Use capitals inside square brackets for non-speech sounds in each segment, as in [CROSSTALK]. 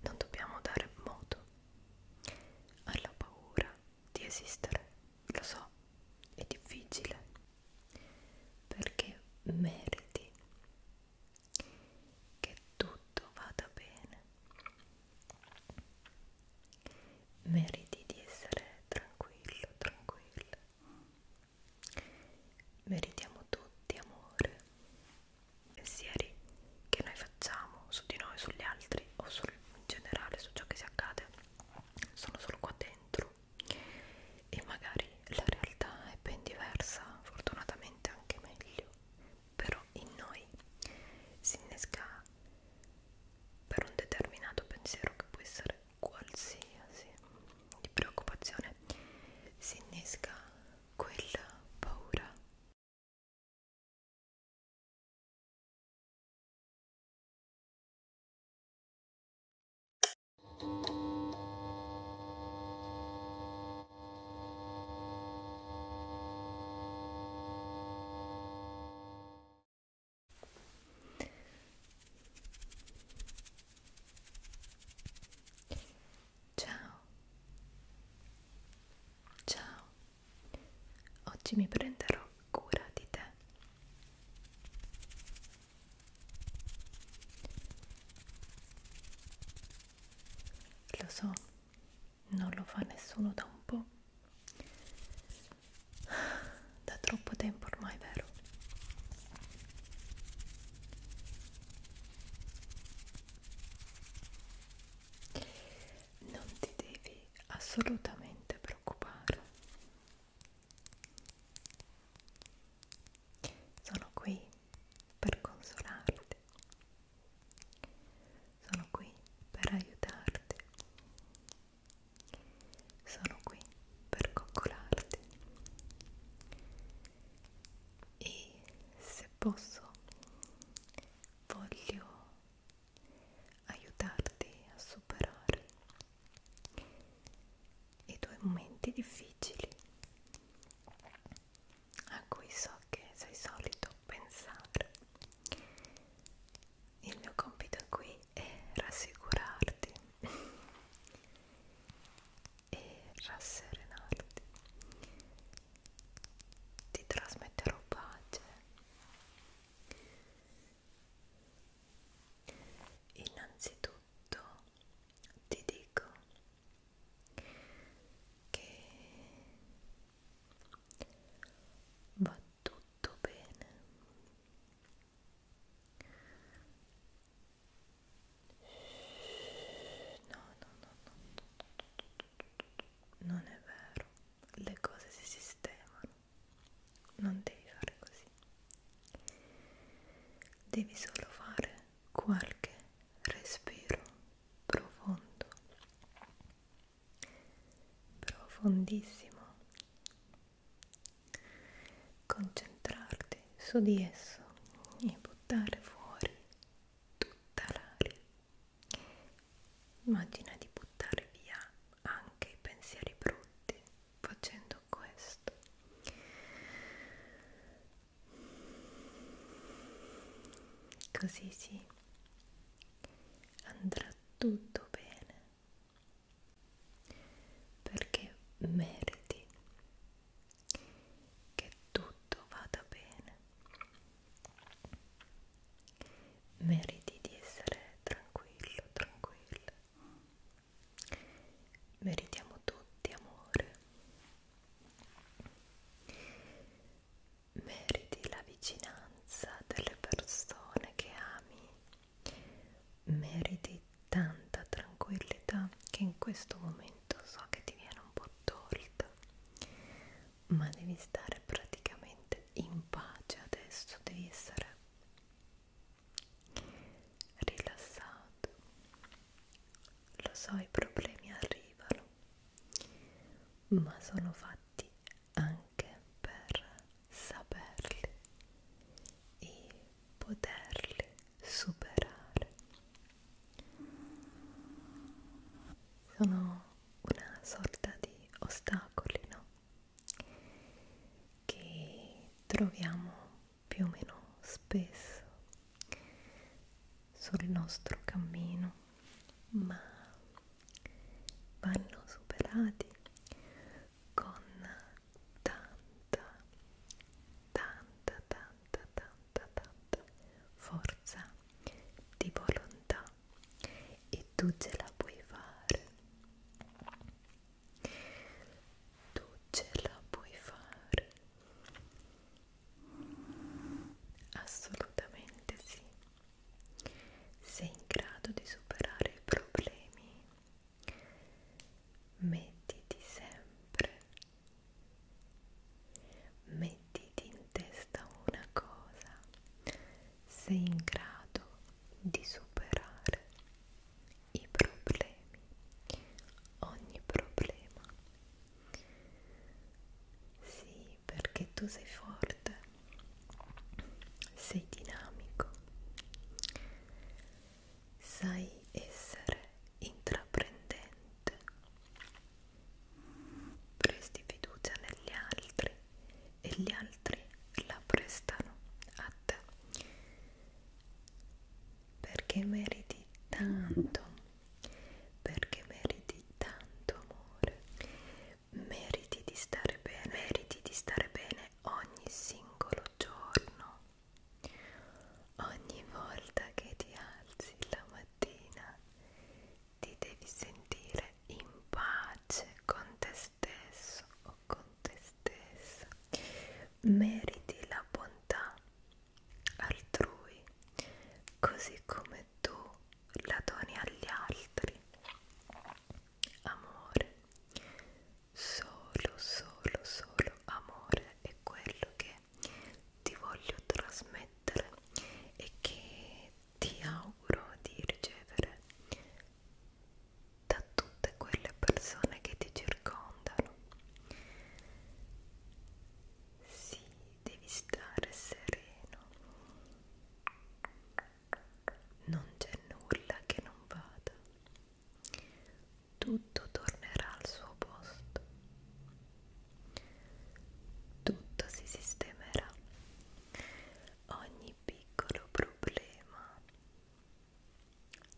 non dobbiamo dare modo alla paura di esistere, lo so, è difficile perché meriti che tutto vada bene, meriti di essere tranquillo, tranquilla, meritiamo tutti amore pensieri che noi facciamo su di noi, sugli altri o sul, in generale su ciò che si accade sono solo qua dentro e magari la realtà è ben diversa, fortunatamente anche meglio, però in noi si innesca per un determinato pensiero che può essere qualsiasi di preoccupazione si innesca quella paura. Ciao. Ciao. Oggi mi prenderò cura di te. Lo so, non lo fa nessuno da un po'. Da troppo tempo ormai, vero? non ti devi assolutamente preoccupare sono qui per consolarti sono qui per aiutarti sono qui per coccolarti e se posso voglio aiutarti a superare i tuoi momenti difficili a cui so che sei solito pensare il mio compito qui è rassicurarti e rasserenarti. Ti trasmetterò pace. Innanzitutto ti dico che va tutto bene No, no, no, no. Non è vero. Le cose si sistemano. Non devi fare così. Devi solo fare qualche respiro profondo. Profondissimo. Concentrarti soffiarti su di esso e buttare fuori tutta l'aria. Immagina di buttare via anche i pensieri brutti facendo questo. Così sì, andrà tutto bene perché meriti che tutto vada bene. Meriti di essere tranquillo, tranquilla. Meritiamo tutti amore. Meriti la vicinanza delle persone che ami meriti tanta tranquillità che in questo momento so che ti viene un po' tolta, ma devi stare praticamente in pace adesso, devi essere rilassato. Lo so, i problemi arrivano, ma sono fatti anche per saperli e poterli superare. Sono una sorta di ostacoli, no? Che troviamo più o meno spesso sul nostro cammino, ma vanno superati con tanta, tanta, tanta, tanta, tanta forza di volontà e tu ce la puoi fare. Tu ce la puoi fare. Assolutamente sì. Sei in grado di superare i problemi mettiti sempre, mettiti in testa una cosa, sei in grado di superare i problemi, ogni problema. Sì, perché tu sei forte, sei dinamico, sai essere intraprendente, presti fiducia negli altri e gli altri la prestano a te perché meriti tanto, perché meriti tanto amore, meriti di stare bene, meriti di stare bene ogni singolo giorno Ogni volta che ti alzi la mattina ti devi sentire in pace con te stesso o con te stessa. Meriti la bontà altrui, così come tu la doni agli altri. Amore, solo, solo, solo amore è quello che ti voglio trasmettere e che ti auguro di ricevere da tutte quelle persone che ti circondano. Sì, devi stare sereno. Non c'è nulla che non vada tutto tornerà al suo posto, tutto si sistemerà, ogni piccolo problema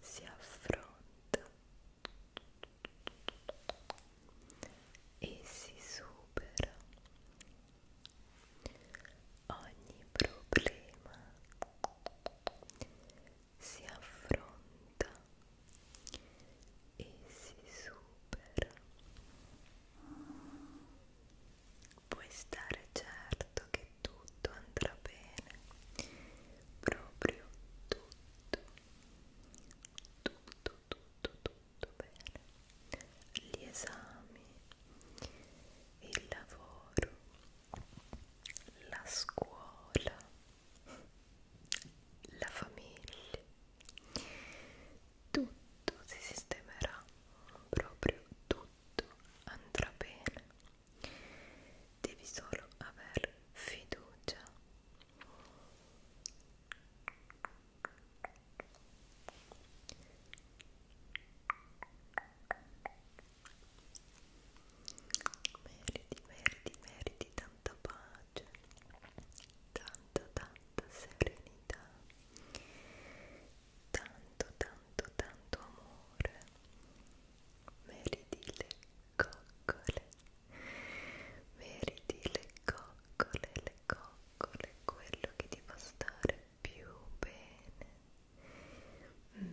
si affronta e si supera ogni problema si affronta e si supera. Puoi stare certo che tutto andrà bene, proprio tutto, tutto, tutto, tutto bene. Gli esami, il lavoro, la scuola, la famiglia, tutto si sistemerà, proprio tutto andrà bene. Devi solo aver fiducia meriti, meriti, meriti tanta pace, tanta, tanta serenità, tanto, tanto, tanto amore, meriti le coccole, meriti le coccole, le coccole, quello che ti fa stare più bene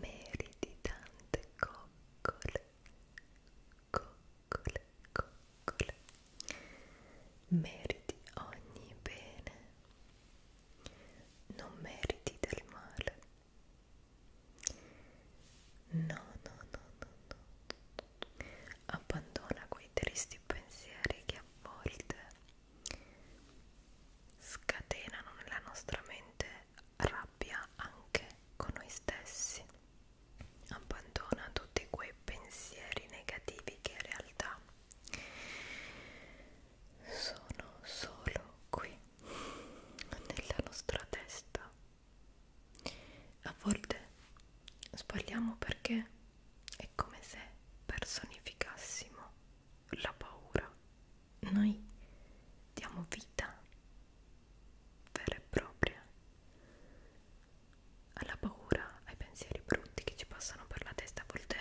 meriti tante coccole coccole coccole meriti ogni bene non meriti del male no no no no no abbandona quei tristi pensieri che a volte scatenano nella nostra mente rabbia anche con noi stessi. Abbandona tutti quei pensieri negativi che in realtà sono solo qui nella nostra testa. A volte sbagliamo perché è come se personificassimo la paura noi diamo vita vera e propria alla paura, ai pensieri brutti che ci passano per la testa, a volte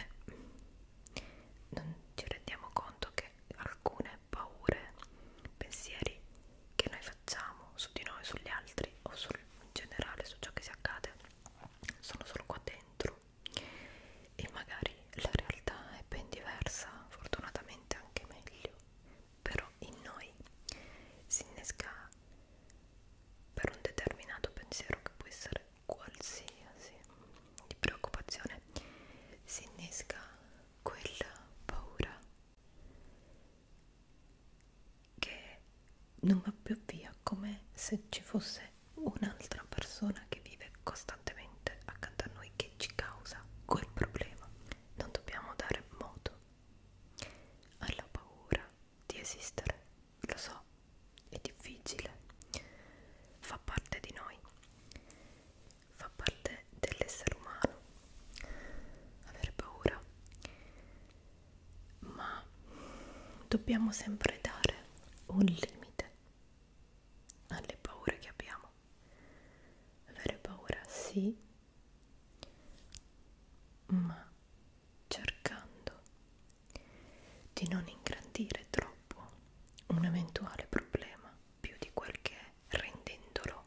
non ci rendiamo conto che alcune paure, pensieri che noi facciamo su di noi, sugli altri o sul, in generale su ciò che si accade sono solo qua dentro e magari la realtà è ben diversa, fortunatamente anche meglio, però in noi si innesca per un determinato pensiero che può essere qualsiasi di preoccupazione, si innesca quella paura che non va più via come se ci fosse un'altra persona che vive costantemente accanto a noi che ci causa quel problema. Non dobbiamo dare modo alla paura di esistere, lo so, è difficile, fa parte di noi, fa parte dell'essere umano avere paura, ma dobbiamo sempre dare un limite alle paure che abbiamo. Avere paura sì, ma cercando di non ingrandire troppo un eventuale problema più di quel che è, rendendolo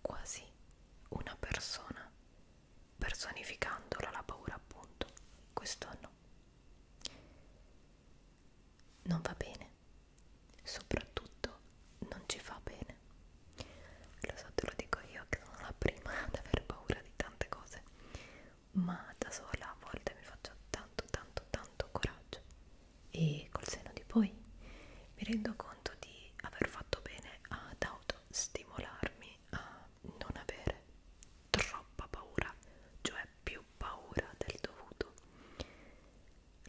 quasi una persona, personificandola la paura appunto. Questo no non va bene soprattutto non ci fa bene lo so te lo dico io che sono la prima ad aver paura di tante cose ma da sola a volte mi faccio tanto tanto tanto coraggio e col seno di poi mi rendo conto di aver fatto bene ad autostimolarmi a non avere troppa paura, cioè più paura del dovuto.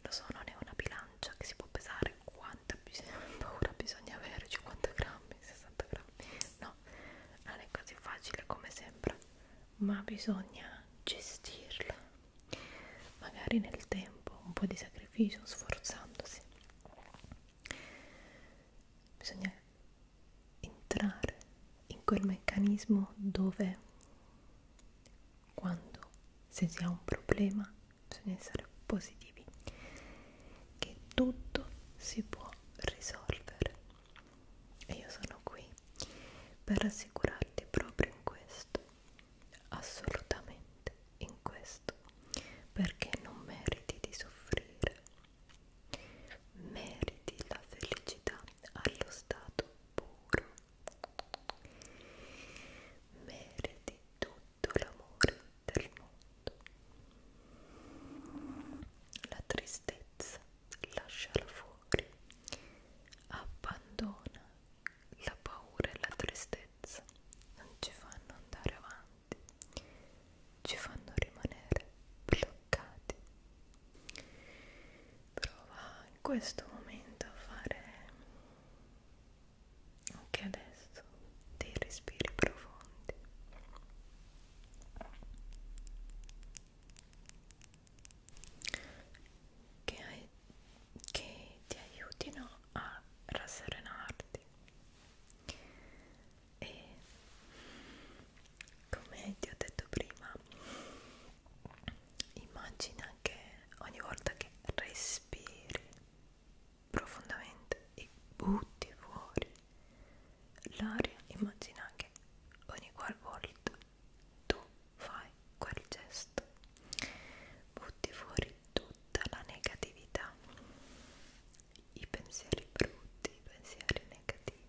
Lo so, non è una bilancia che si può pesare quanta [LAUGHS] paura bisogna avere, 50 grammi, 60 grammi, no, non è così facile come sembra, ma bisogna gestirla, magari nel tempo, un po' di sacrificio, sforzandosi. Bisogna entrare in quel meccanismo dove quando se si ha un problema bisogna essere positivi che tutto si può risolvere e io sono qui per rassicurarti proprio in questo assolutamente in questo perché non meriti di soffrire meriti la felicità allo stato puro meriti tutto l'amore del mondo la tristezza lasciala fuori abbandona la paura e la tristezza non ci fanno andare avanti ci fanno rimanere bloccati. Prova in questo momento a fare anche adesso dei respiri profondi. Che, hai, che ti aiutino a rasserenarti e come ti ho detto prima immagina che ogni volta che respiri profondamente e butti fuori l'aria immagina che ogni qualvolta tu fai quel gesto butti fuori tutta la negatività i pensieri brutti, i pensieri negativi.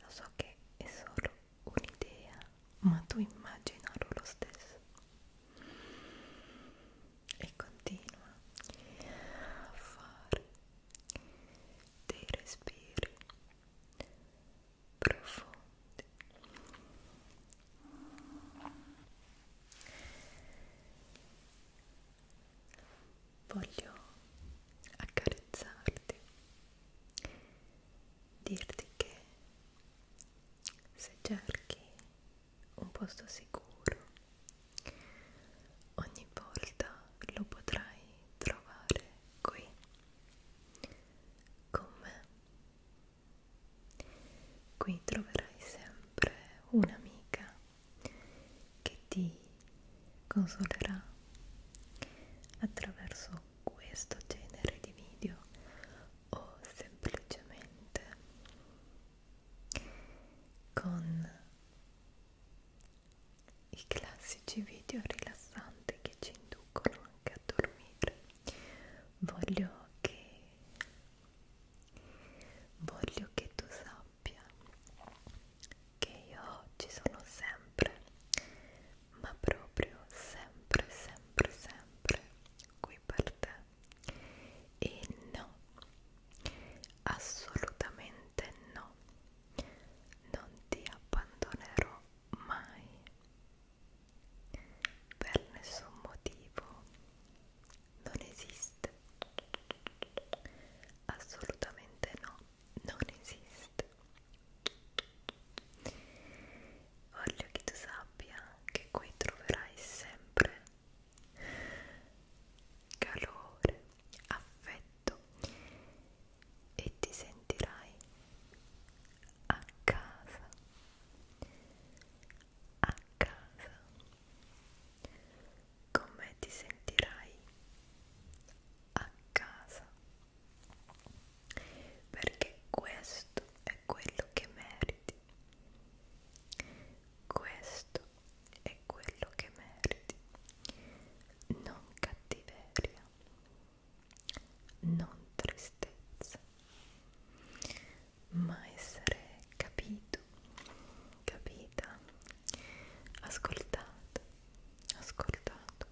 Lo so che è solo un'idea, ma tu immaginalo lo stesso. E continua a fare dei respiri profondi voglio accarezzarti, dirti che se cerchi un posto sicuro, ogni volta lo potrai trovare qui con me. Qui troverai sempre un'amica che ti consolerà attraverso questo genere di video o semplicemente con i classici video rilassanti che ci inducono anche a dormire voglio che voglio che tu sappia coppia che io ci sono sempre, ma proprio sempre, sempre, sempre qui per te. E no, assolutamente no, non ti abbandonerò mai per nessun motivo non esiste assolutamente no non esiste voglio che tu sappia che qui troverai sempre calore affetto e ti sentirai a casa a casa con me ti sentirai a casa perché questo è quello che meriti questo è quello che meriti non cattiveria non tristezza ma essere capito, capita, ascoltato, ascoltato,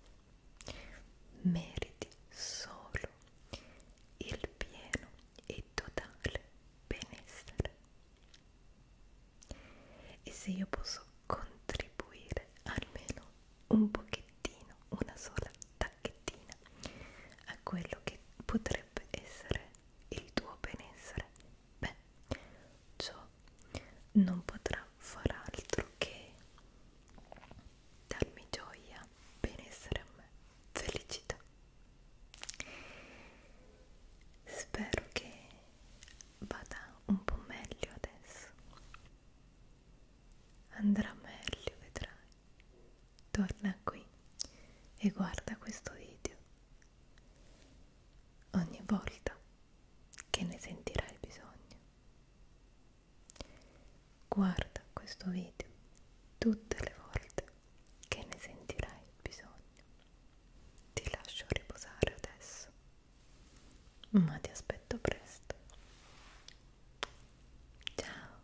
meriti solo il pieno e totale benessere. E se io posso contribuire almeno un pochettino, una sola tacchettina a quello che potrebbe essere il tuo benessere, beh, ciò non potrà far altro che darmi gioia, benessere a me, felicità. Spero che vada un po' meglio adesso. Andrà meglio, vedrai. Torna qui e guarda questo video ogni volta che ne sentirai bisogno. Guarda questo video tutte le volte che ne sentirai bisogno. Ti lascio riposare adesso, ma ti aspetto presto. Ciao!